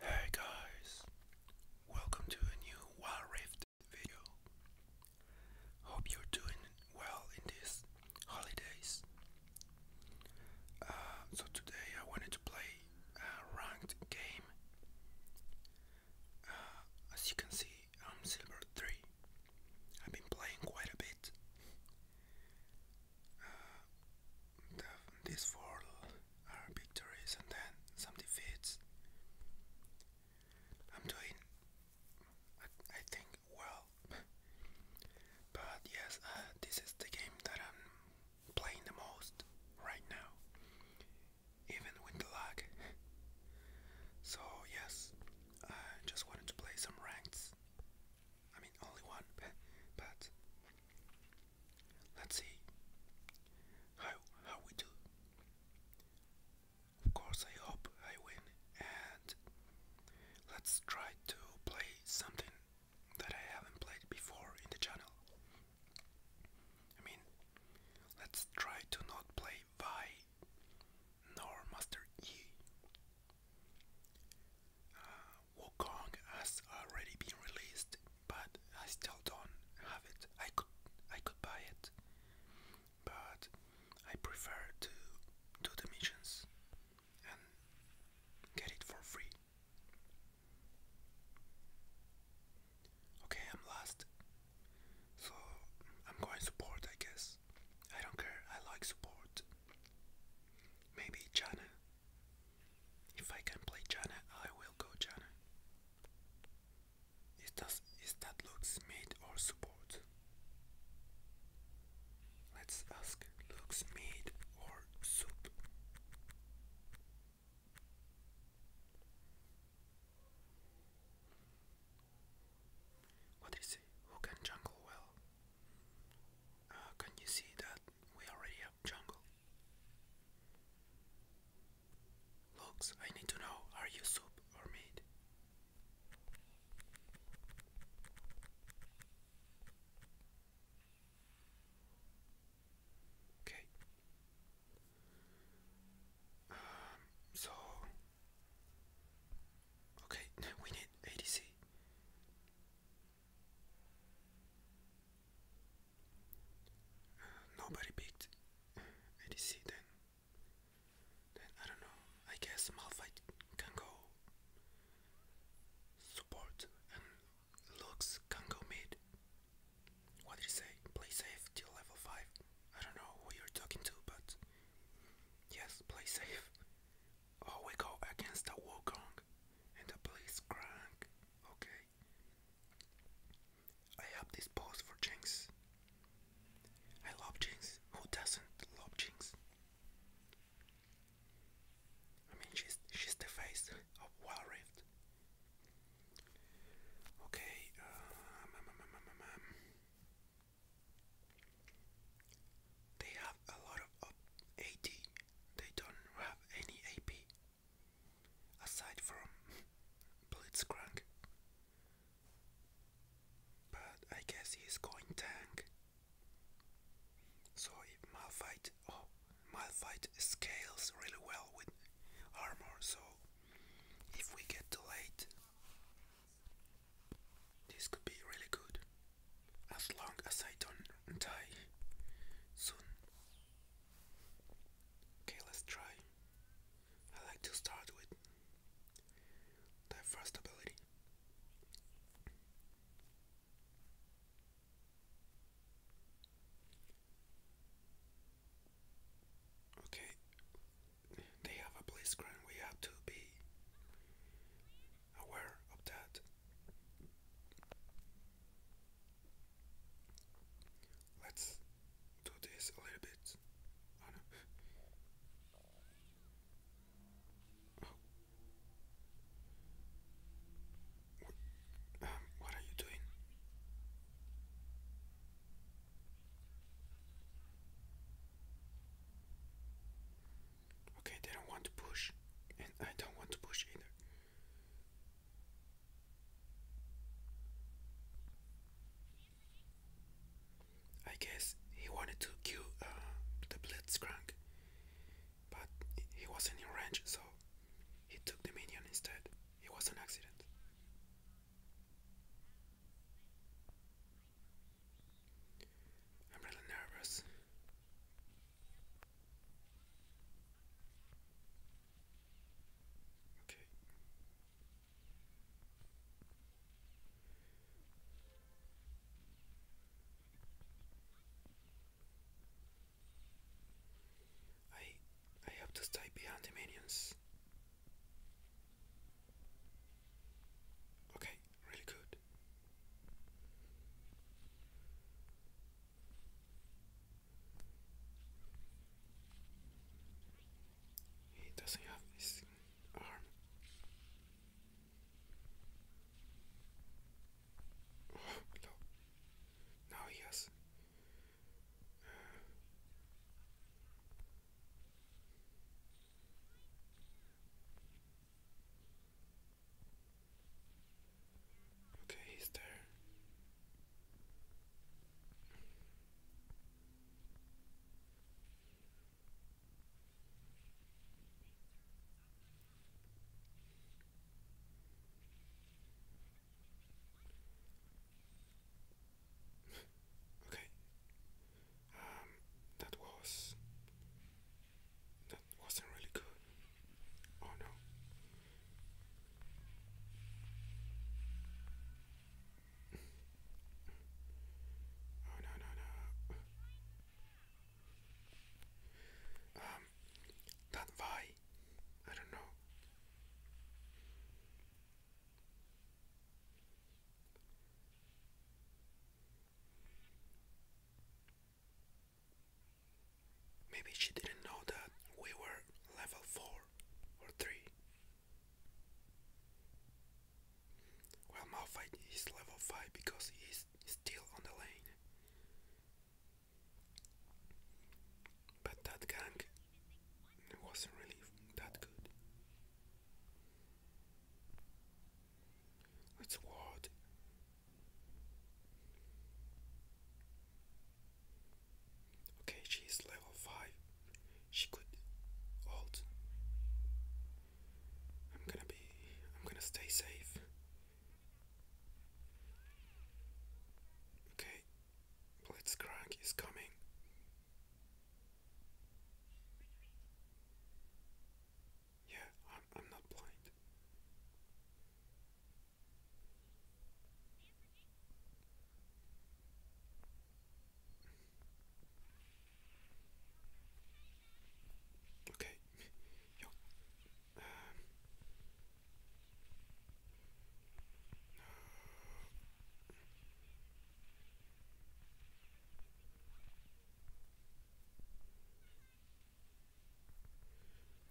Hey guys, welcome to a new Wild Rift video. Hope you're doing well in these holidays. Uh, so today I wanted to play a ranked game. Uh, as you can see, I'm silver 3. I've been playing quite a bit uh, the, these four are victories and then some defeats. I'm doing, I, think, well. but yes, uh, this is the game that I'm playing the most right now, even with the lag. so, yes, I just wanted to play some ranks. I mean, only one, but Let's see how how we do. Of course, I hope I win, and let's try to play something that I haven't played before in the channel. I mean, let's try to not play Vi nor Master E. Wukong has already been released, but I still don't have it. I could I could buy it, but I prefer to do the missions and get it for free. Okay, I'm last, so I'm going support, I guess. I don't care. I like support. Maybe China if I can play Jana, I will go Jana. Is that, is that Lux mid or support? Let's ask Lux mid or soup. What is it? Who can jungle well? Uh, can you see that we already jungle. Looks, I need to know, are you soup or meat? Okay. Um, so okay, we need ADC nobody picked ADC then. Then I don't know. I guess Malphite can go support and Lux can go mid. What do you say? Play safe till level 5. I don't know who you're talking to, but yes, play safe. Oh, we go against the Wukong and the police crank. Okay. I have this pose for Jinx. I love Jinx. Who doesn't love Jinx? I mean, she's she's the face of Wild Okay. Um, they have a lot of AD they don't have any AP aside from Blitzcrank. But I guess he's going tank. So if Malphite, oh, Malphite scales really well with armor. So if we get delayed, this could be really good as long as I don't die soon. Okay, let's try. I like to start with the first ability. Okay, they have a blitzcrank. We have to be aware of that. Let's do this a little bit. Oh. Um, what are you doing? Okay, they don't want to push, and I don't want to push either. I guess he wanted to kill uh, the Blitzcrank, but he wasn't in range, so he took the minion instead. It was an accident. I'm really nervous. Okay. I I have to stay behind the minions. Okay really, good. He doesn't have this arm. Oh, no. Now he has. Uh, Okay, he's there. okay. Um, that was that wasn't really good. Oh no. Oh no no no. Um, that Vi, I don't know. Maybe she didn't know that we were level 4 or 3. Well, Malphite is level 5 because he's still on the lane. But that gank wasn't really that good. That's what. Okay, she level 5. She could ult. I'm gonna be. I'm gonna stay safe. Okay, Blitzcrank is coming. Yeah, I'm, I'm not blind. Okay, yo, um,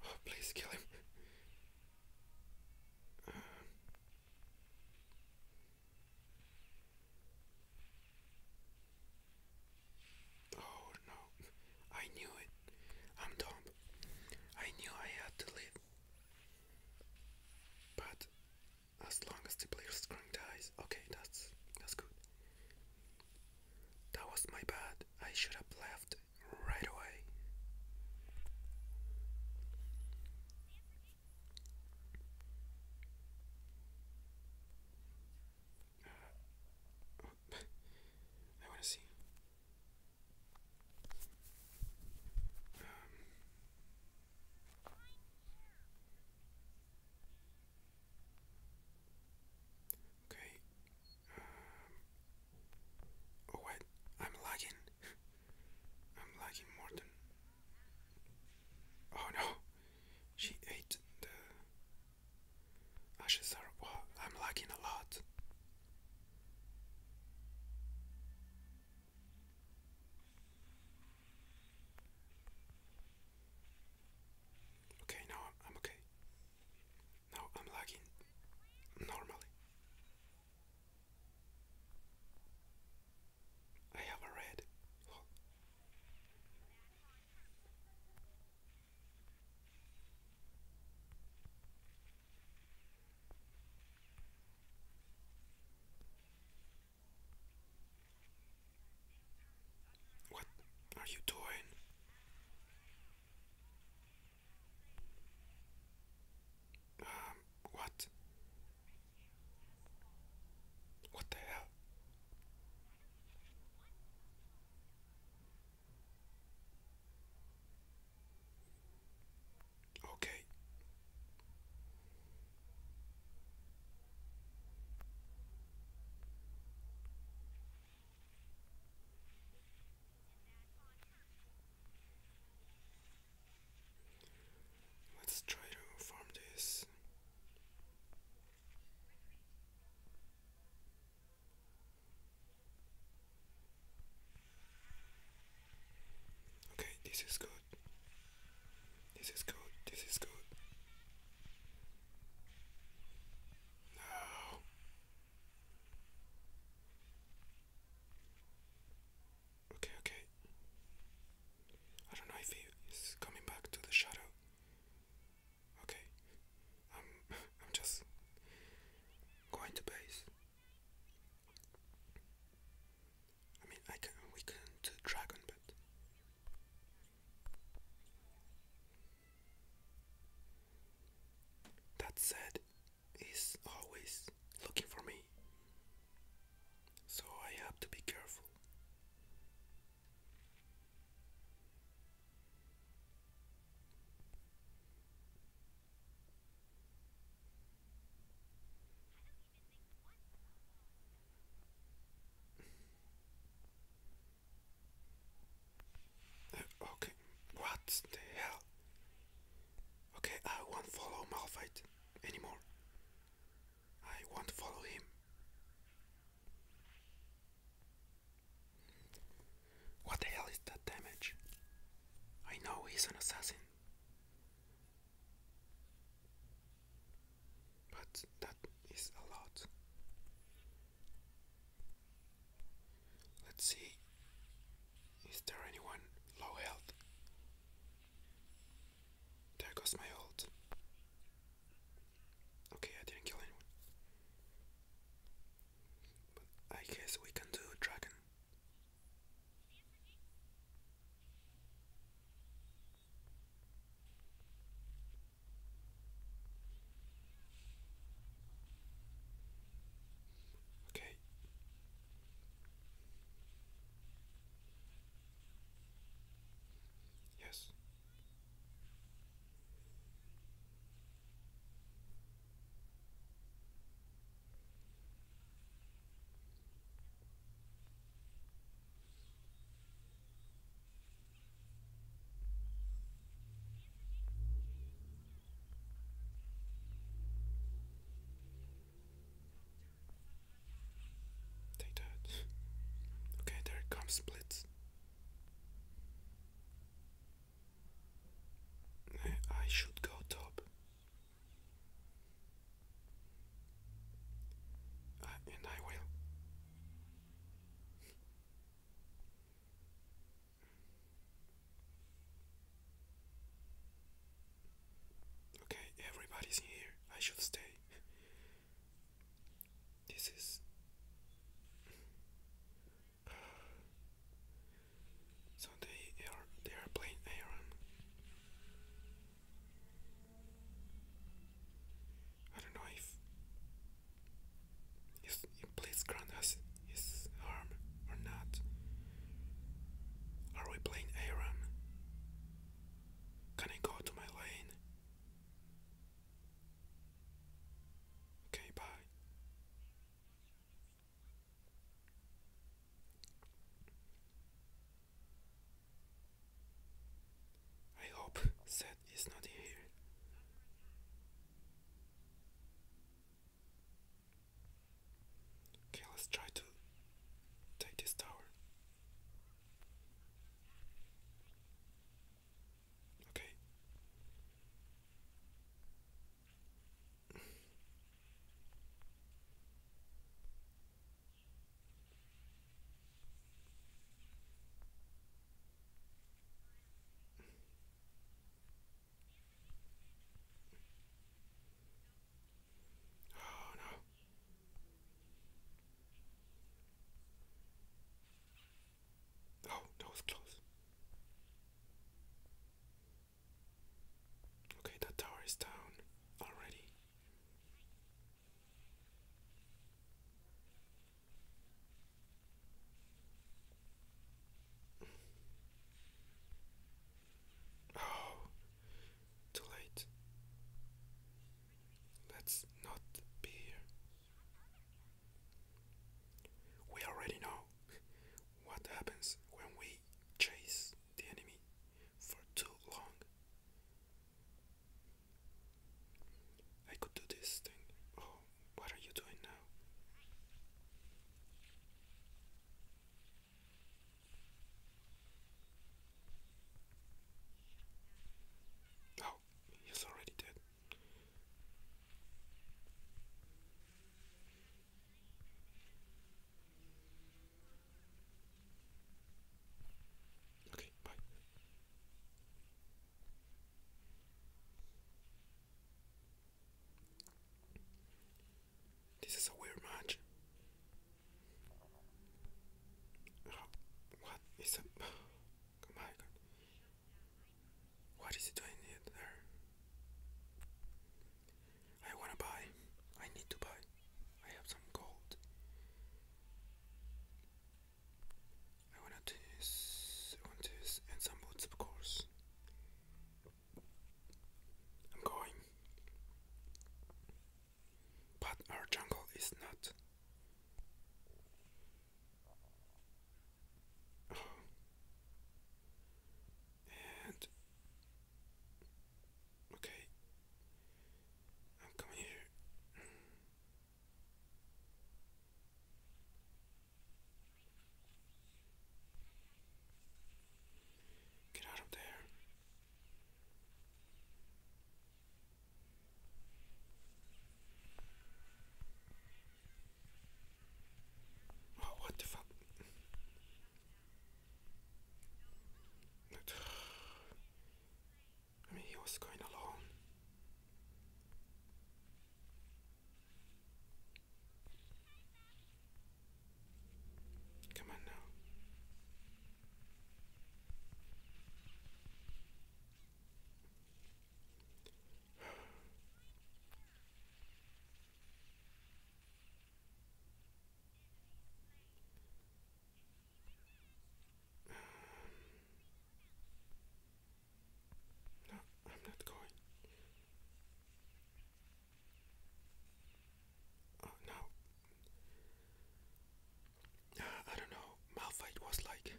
Oh, please kill him. Uh. Oh no, I knew it. I'm dumb. I knew I had to live. But as long as the player's screen dies. Okay, that's that's good. That was my bad. I should have left right away. Uh, I want to see. Um, Okay. Um, oh wait, I'm lagging. I'm lagging more than. Oh no, she ate the ashes. Are well, I'm lagging a lot. Okay, now I'm, okay. Now I'm lagging normally. I have a red. What are you doing? Um, what? What the hell? Okay. Let's try to farm this. Okay, this is good. This is good. This is good. No. Okay, okay. I don't know if he coming back to the shadow. Okay. I'm I'm just going to base. I mean, I can we can not dragon, but. That said, he's always looking for me, so I have to be careful. Okay, what the hell? Okay, I won't follow Malphite anymore. I won't follow him. What the hell is that damage? I know he's an assassin. But that is a lot. Let's see. Is there anyone low health? There goes my ult. Okay, I didn't kill anyone. But I guess we can do dragon. Okay. Yes. Take that. Okay, there it comes, Blitz. I should go top. Uh, and I will. Okay, everybody's here. I should stay. This is so they are they are playing Aaron. I don't know if if please grant us his arm or not. Are we playing Aram? Can I go to my lane? Okay, bye. I hope that is not in here. Okay, let's try to take this tower. Okay. Oh no. Oh, that was close. Okay, that tower is down already. Oh, too late. let not be We already know what happens when we chase the enemy for too long. I could do this thing. Oh, what are you doing now? Oh, he's already dead. Okay, bye. This is a weird match. Uh, what is it? Oh my god. What is he doing here there? I wanna buy. I need to buy. I have some gold. I wanna do I want this and some boots, of course. I'm going. But our jungle is not. And Okay. i here. Get out of there. Oh, what the fuck? I mean, he was going alone. Come on now. No, I'm not going. Oh, no. I don't know. Malphite was like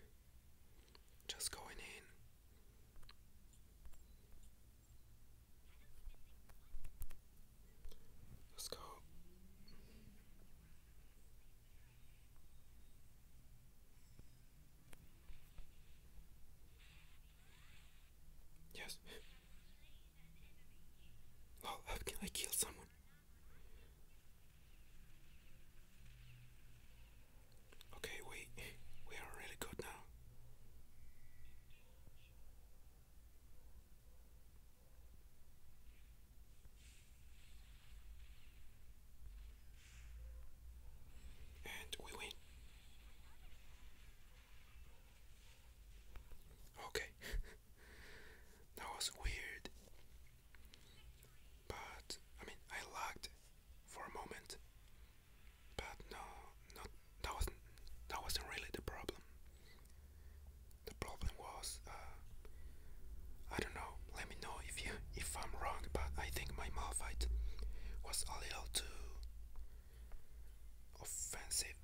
just going in. Let's go. Yes. Oh, how can I kill someone? Okay, we we are really good now. And we win. Okay, that was weird. But I mean, I lagged for a moment, but no, not that wasn't that wasn't really the problem. The problem was uh, I don't know. Let me know if you if I'm wrong, but I think my Malphite was a little too offensive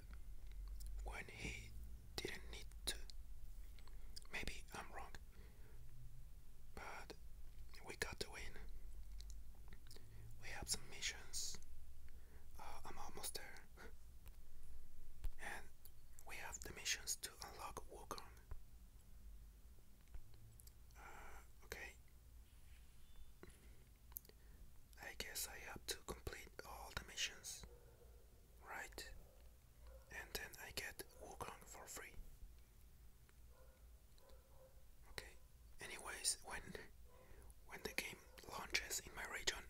when he didn't need to. Maybe I'm wrong, but we got the win. We have some missions uh, I'm almost there. and we have the missions to unlock Wukong. Uh, okay. I guess I have to complete all the missions, right? And then I get Wukong for free. Okay anyways when when the game launches in my region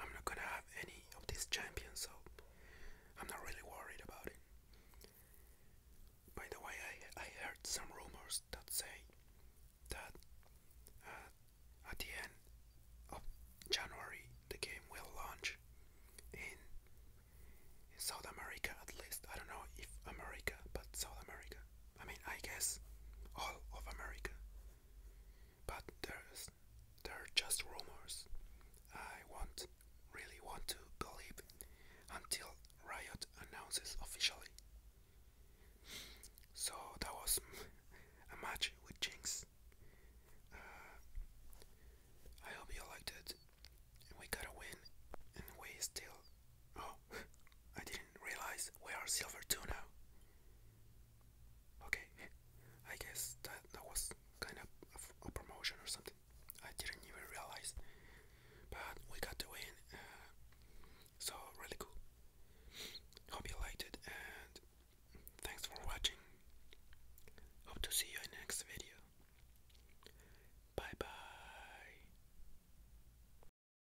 I'm not gonna have any of these champions so I'm not really worried about it. By the way I, I heard some rumors that say that uh, at the end of January the game will launch in South America at least. I don't know if America but South America. I mean, I guess all of America. But there's they're just rumors. I want really want to believe until Riot announces officially. So that was a match with Jinx. Uh, I hope you liked it. We got a win, and we still Oh, I didn't realize we are silver too now. Okay, I guess that, that was kind of a, promotion or something. I didn't even realize. But we got to win. Uh, so, really cool. Hope you liked it and thanks for watching. Hope to see you in next video. Bye bye.